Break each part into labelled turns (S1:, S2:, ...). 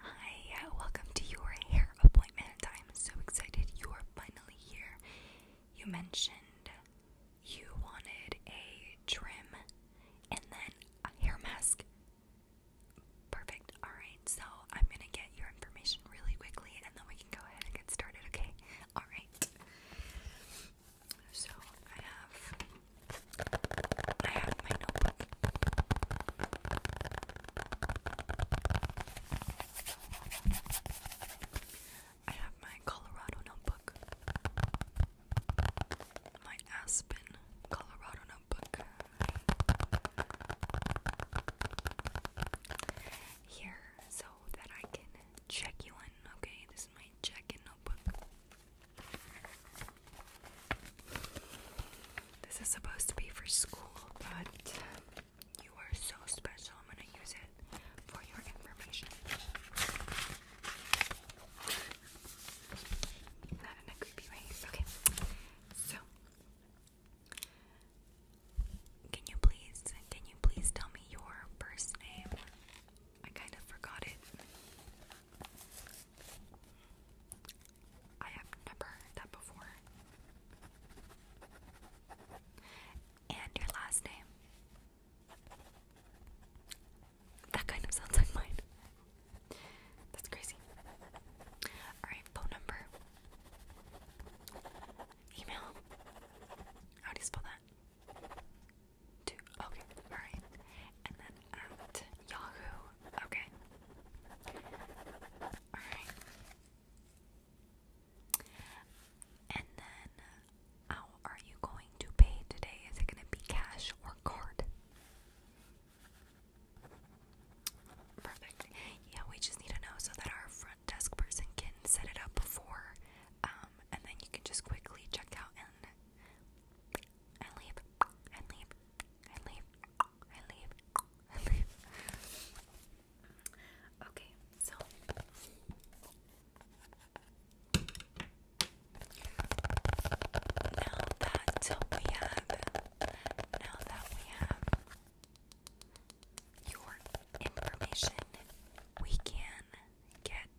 S1: Hi, uh, welcome to your hair appointment. I'm so excited you are finally here. You mentioned you wanted a trim and then a hair mask. Perfect. Alright, so I'm gonna get your information really quickly and then we can go ahead and get started, okay? Alright. So I have I have my notebook. I have my Colorado notebook. My Aspen, Colorado notebook. Here, so that I can check you in, okay? This is my check in notebook. This is supposed to be for school, but you are so special. I'm going to use it for your information. Not in a creepy way. Okay. So, can you please, can you please tell me your first name? I kind of forgot it. I have never heard that before. And your last name. That kind of sounds like mine. That's crazy. Alright, phone number. Email. How do you spell that? Two. Okay, alright. And then at Yahoo. Okay. Alright. And then, how are you going to pay today? Is it going to be cash or card? Perfect. Yeah, we just need to know so that our front desk person can set it up before, um, and then you can just quickly check out and and leave and leave I leave. I leave. I leave. Okay, so now that we have, now that we have your information, we can get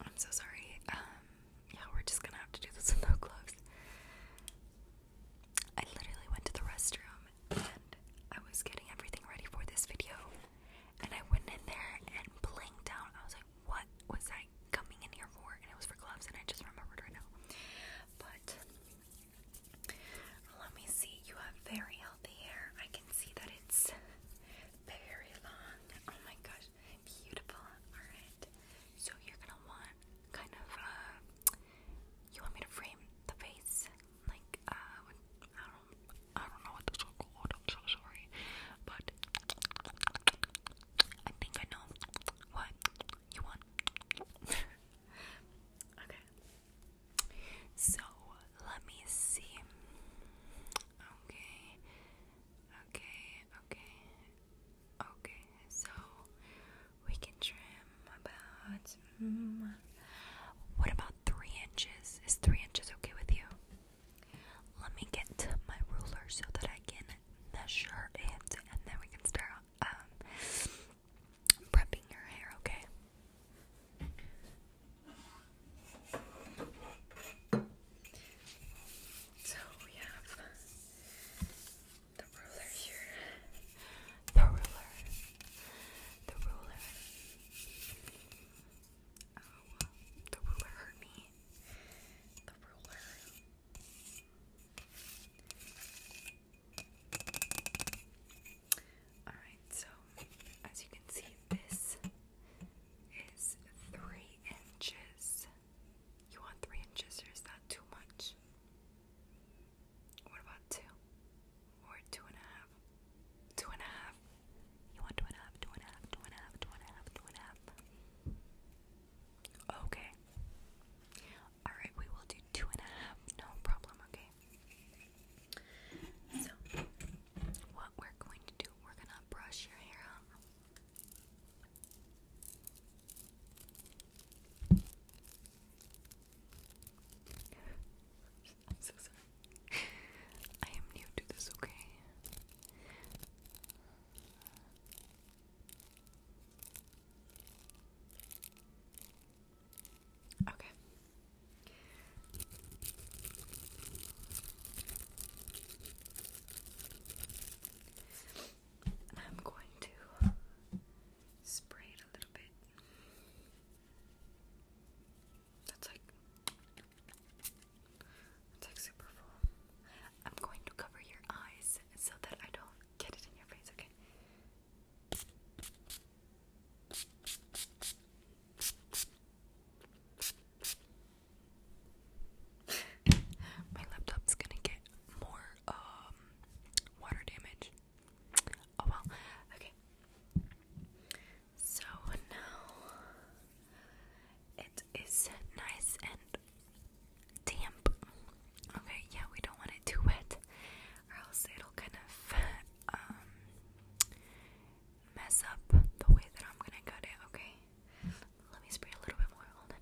S1: I'm so sorry. Um, yeah, we're just gonna have to do this with gloves. I literally went to the restroom and I was getting everything ready for this video, and I went in there and blinked out. I was like, "What was I coming in here for?" And it was for gloves, and I just remembered right now. But let me see. You have very healthy hair. I can see that it's very long. Oh my god, Beautiful. Alright. So you're gonna want kind of uh, you want me to frame the face? Like uh, I don't I don't know what this is called, I'm so sorry. But I think I know what you want. okay. So let me see. Okay. Okay, okay, okay, so we can trim about. Mm, what about three inches? Is three inches okay with you? Let me get my ruler so that I can measure and then we can start um, prepping your hair, okay? So we have the ruler here. The ruler. The ruler. Oh, the ruler The ruler. Alright, so as you can see, this is three inches. You want three inches, or is that too much? What about two? Or two and a half? Two and a half? You want two and a half, two and a half, two and a half, two and a half, two and a half? Okay. Alright, we will do two and a half. No problem, okay? So, what we're going to do, we're gonna brush your hair out I'm new to this, okay? Okay. I'm going to spray it a little bit. That's like that's like super full. I'm going to cover your eyes so that I don't get it in your face, okay? My laptop's gonna get more um water damage. Oh well. Okay. So now it is nice and damp. Okay, yeah, we don't want it too wet, or else it'll kind of um mess up the way that I'm gonna cut it. Okay. Let me spray a little bit more. Hold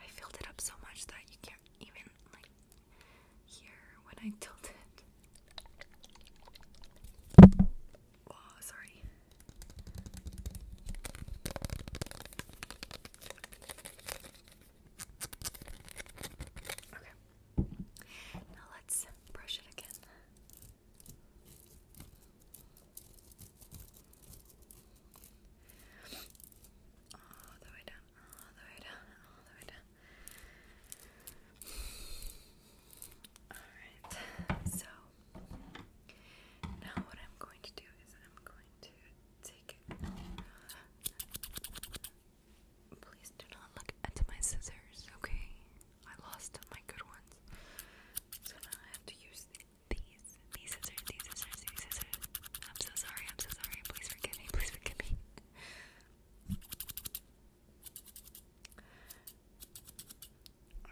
S1: I filled it up so much that you can't even like hear when I tilt it. Oh, sorry. Okay. Now let's brush it again. All the way down, all the way down, all the way down. Alright, so now what I'm going to do is I'm going to Take it. Please do not look at my scissors, okay? I lost my good ones. So now I have to use These scissors, these scissors, these scissors. I'm so sorry, I'm so sorry. Please forgive me, please forgive me.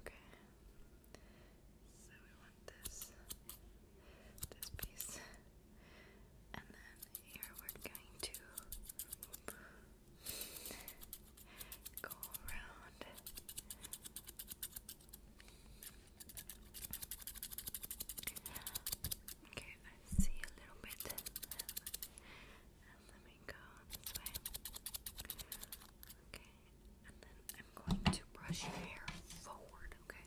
S1: Okay. So we want this. This piece. And then here we're going to go around. Okay, I see a little bit. And let me go this way. Okay, and then I'm going to brush your hair forward, okay?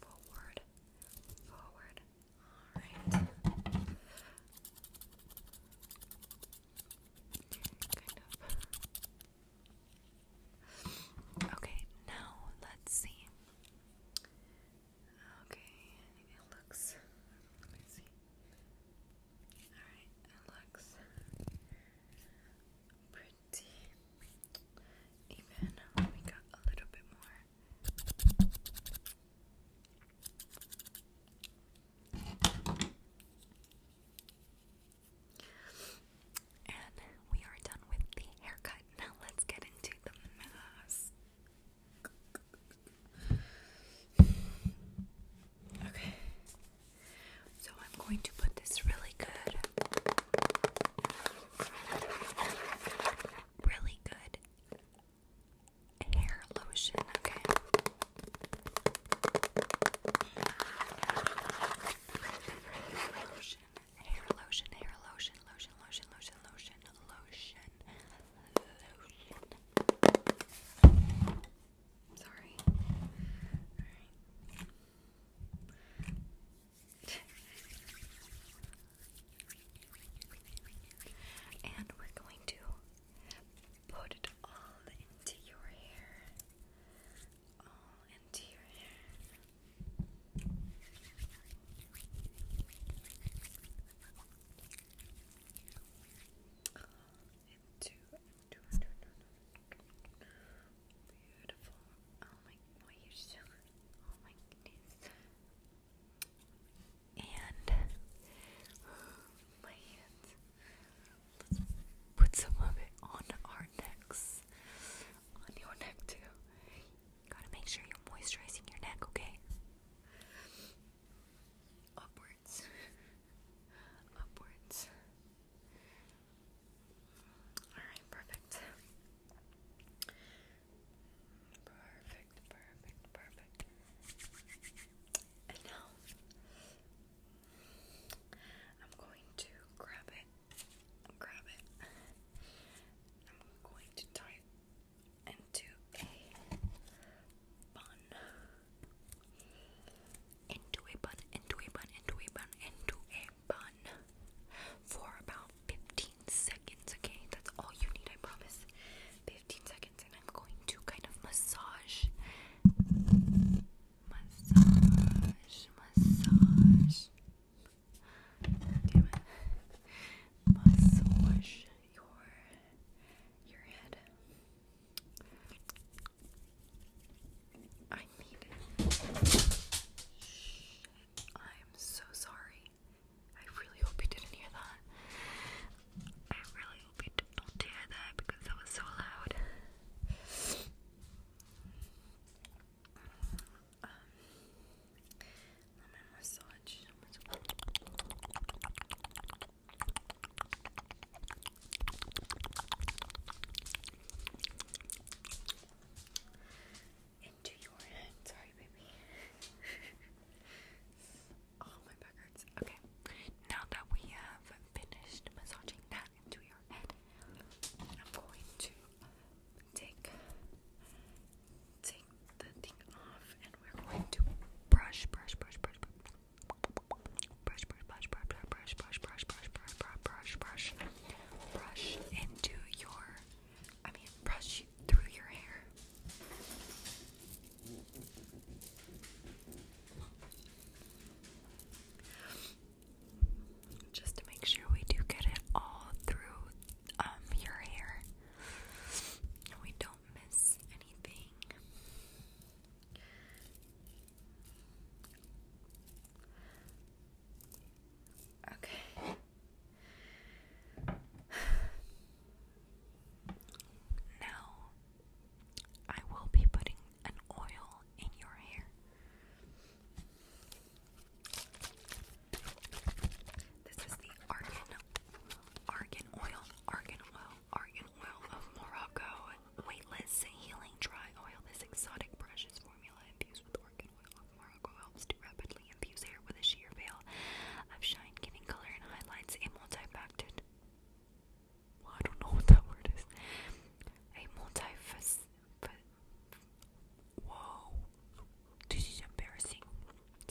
S1: Forward. Forward. Alright. Okay, now let's see. Okay, it looks. Let me see. Alright, it looks pretty even we got a little bit more. And we are done with the haircut. Now let's get into the mask. Okay. So I'm going to put this really good Really good hair lotion, okay? hair lotion, hair lotion, lotion, lotion, lotion, lotion, lotion, Sorry and we're going to put it all into your hair. All into your hair. Into, Beautiful. Oh my boy, oh, you're so oh my goodness. And my hands. Let's put some of it on our necks. On your neck too. You gotta make sure you're moisturizing your neck, okay? Upwards. Upwards. Alright, perfect. Perfect, perfect, perfect. And now I'm going to grab it. Grab it. I'm going to tie it into a bun. Into a bun, into a bun, into a bun, into a bun for about 15 seconds, okay? That's all you need, I promise. 15 seconds, and I'm going to kind of massage. Massage, massage. Damn it. Massage your, your head. I need it. I'm so sorry. I really hope you didn't hear that. I really hope you did not hear that because that was so loud. Um, lemon massage into your head. Sorry, baby. oh, my back hurts. Okay, now that we have finished massaging that into your head, I'm going to take take the thing off, and we're going to brush, brush, brush, brush, brush, brush, brush, brush, brush, brush, brush, brush, brush, brush, brush, brush, brush, brush, brush into your, I mean, brush through your hair. Just to make sure we do get it all through um your hair. And we don't miss anything. Okay. Now, I will be putting an oil in your hair. This is the argan, argan oil, argan oil, argan oil of Morocco, weightless healing dry oil. This exotic brush is formula infused with organ and oil of Morocco helps to rapidly infuse hair with a sheer veil of shine, giving color and highlights a multi-facet. I don't know what that word is. A multi-facet. Whoa, this is embarrassing.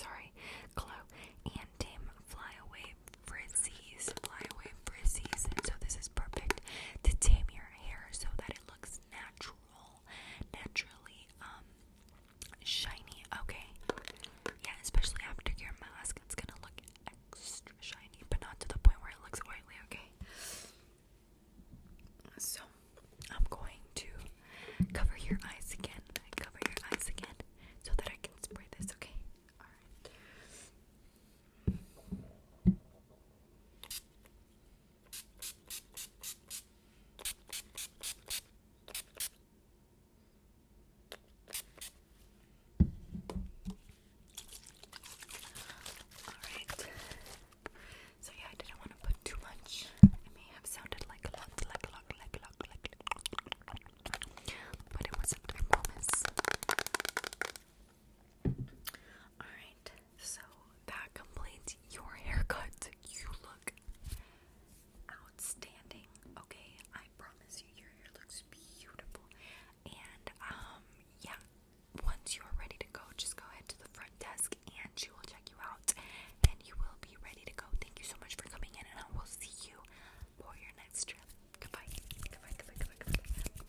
S1: Sorry, glow and dim flyaway frizzies. Flyaway frizzies. So this is perfect to tame your hair so that it looks natural naturally, um, shiny. Okay, yeah, especially after your mask, it's gonna look extra shiny, but not to the point where it looks oily. Okay, so I'm going to cover your eyes again. Cover your eyes again, so that I can spray this. Okay, all right. Alright. So yeah, I didn't want to put too much. It may have sounded like a lot, like a lot, like a lot, like a lot. But it wasn't, I promise. Alright, so that completes your haircut. You look outstanding, okay? I promise you, your hair looks beautiful. And, um, yeah, once you are ready to go, just go ahead to the front desk and she will check you out and you will be ready to go. Thank you so much for coming in, and I will see you for your next trip. Goodbye. Goodbye, goodbye, goodbye, goodbye.